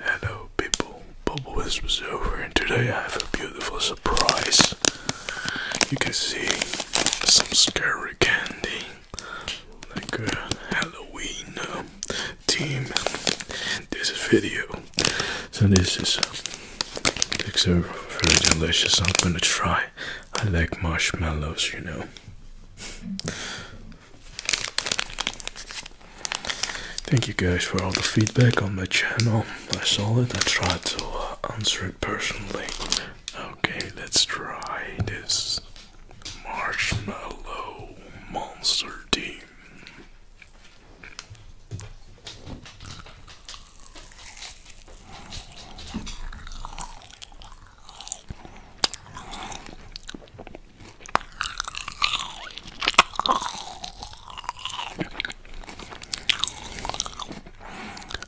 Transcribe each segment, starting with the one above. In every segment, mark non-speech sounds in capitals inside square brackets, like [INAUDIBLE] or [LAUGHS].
Hello people, Bubble Wisp over and today I have a beautiful surprise. You can see some scary candy, like a Halloween um, theme. This is video. So this is, uh, looks very delicious, I'm gonna try. I like marshmallows, you know. Thank you guys for all the feedback on my channel. I saw it, I tried to uh, answer it personally. Okay, let's try this Marshmallow Monster Team.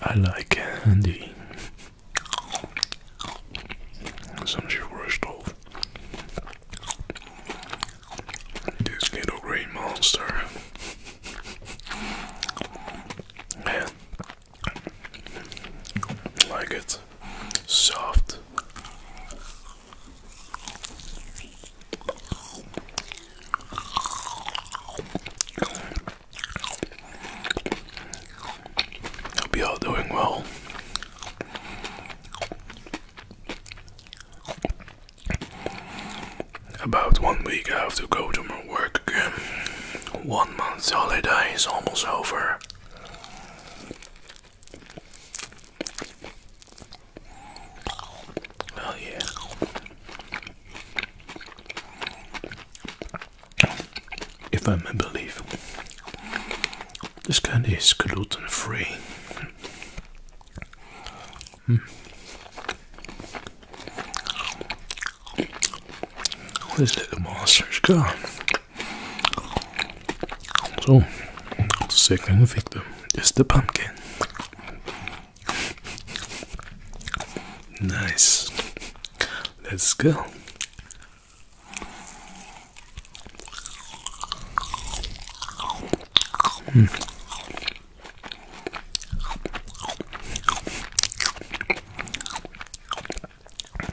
I like candy. Some sugar stuff. This little green monster. Yeah. Like it nice, soft. Hope you all doing well. About one week I have to go to my work again. One month's holiday is almost over. Oh yeah. If I may believe, this candy is gluten free. Mm. This little monster's so, second victim is the pumpkin. Nice. Let's go.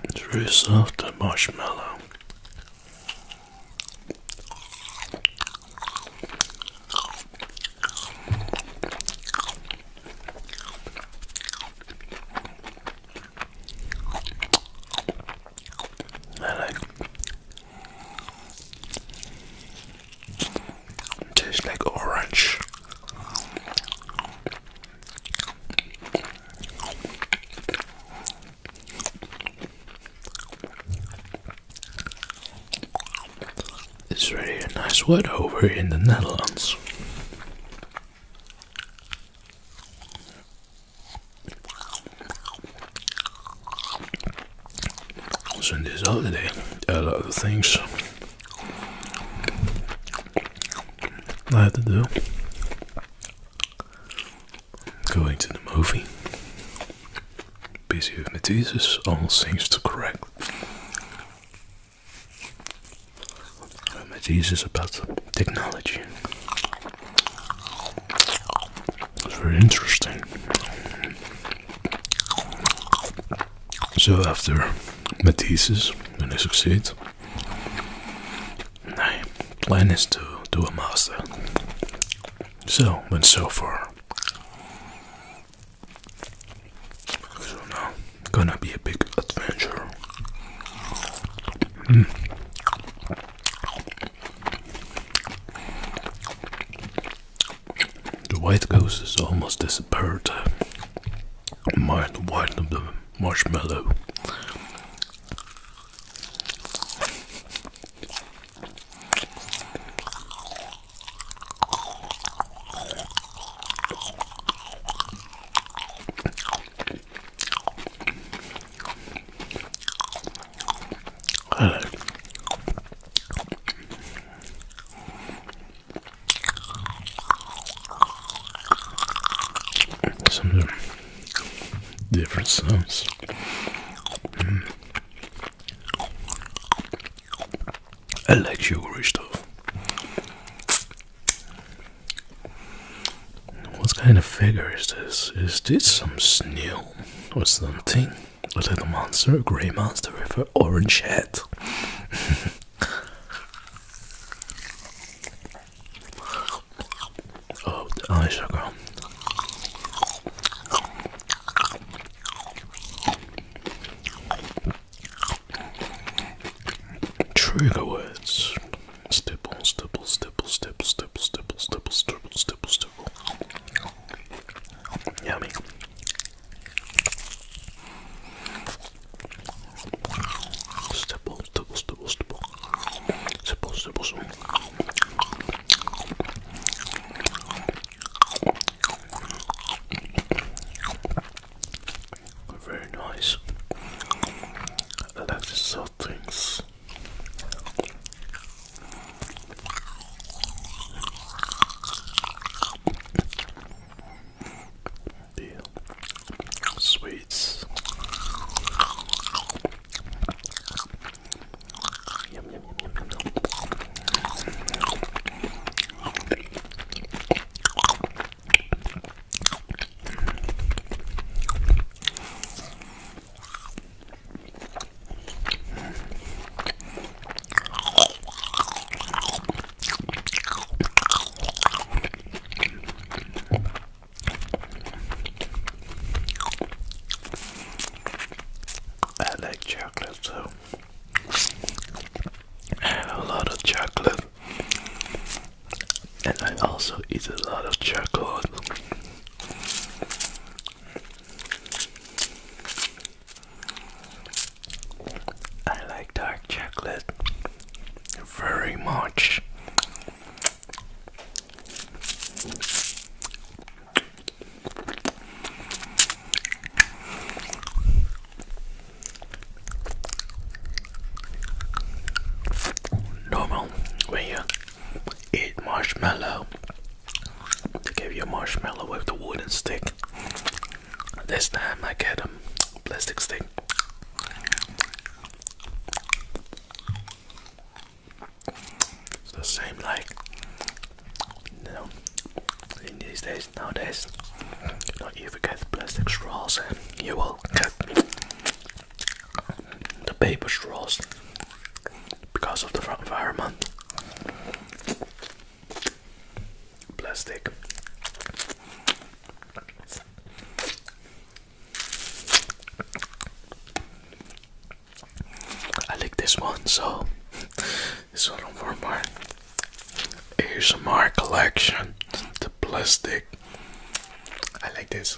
It's very soft, marshmallow. I like tastes like orange. It's really a nice word over in the Netherlands. Also in this holiday, a lot of things I have to do going to the movie. Busy with my thesis, all seems to correct. My thesis about technology. It's very interesting. So after Matisse, when I succeed, my plan is to do a master. So went so far. gonna be a big adventure. Hmm. The white ghost has almost disappeared. Mine the white of the marshmallow. Some different sounds. Hmm. I like sugary stuff. What kind of figure is this? Is this some snail or something? a little monster, a grey monster with an orange head. [LAUGHS] oh, the eye sugar. Trigger words. Stipple, stipple, stipple, stipple, stipple, stipple, stipple, stipple, stipple, stipple. Yummy. Stipple, stipple, stipple, stipple. Very nice. I like the soft things. The sweets. Yum, yum, yum, yum, yum, yum. I like chocolate too. A lot of chocolate, and I also eat a lot of chocolate. I like dark chocolate very much. Normal when you eat marshmallow they gave you a marshmallow with the wooden stick. This time I get a plastic stick. It's the same like you these days nowadays you not even get plastic straws and you will get the paper straws because of the environment. Plastic. I like this one, so [LAUGHS] this one for my ASMR collection. The plastic. I like this.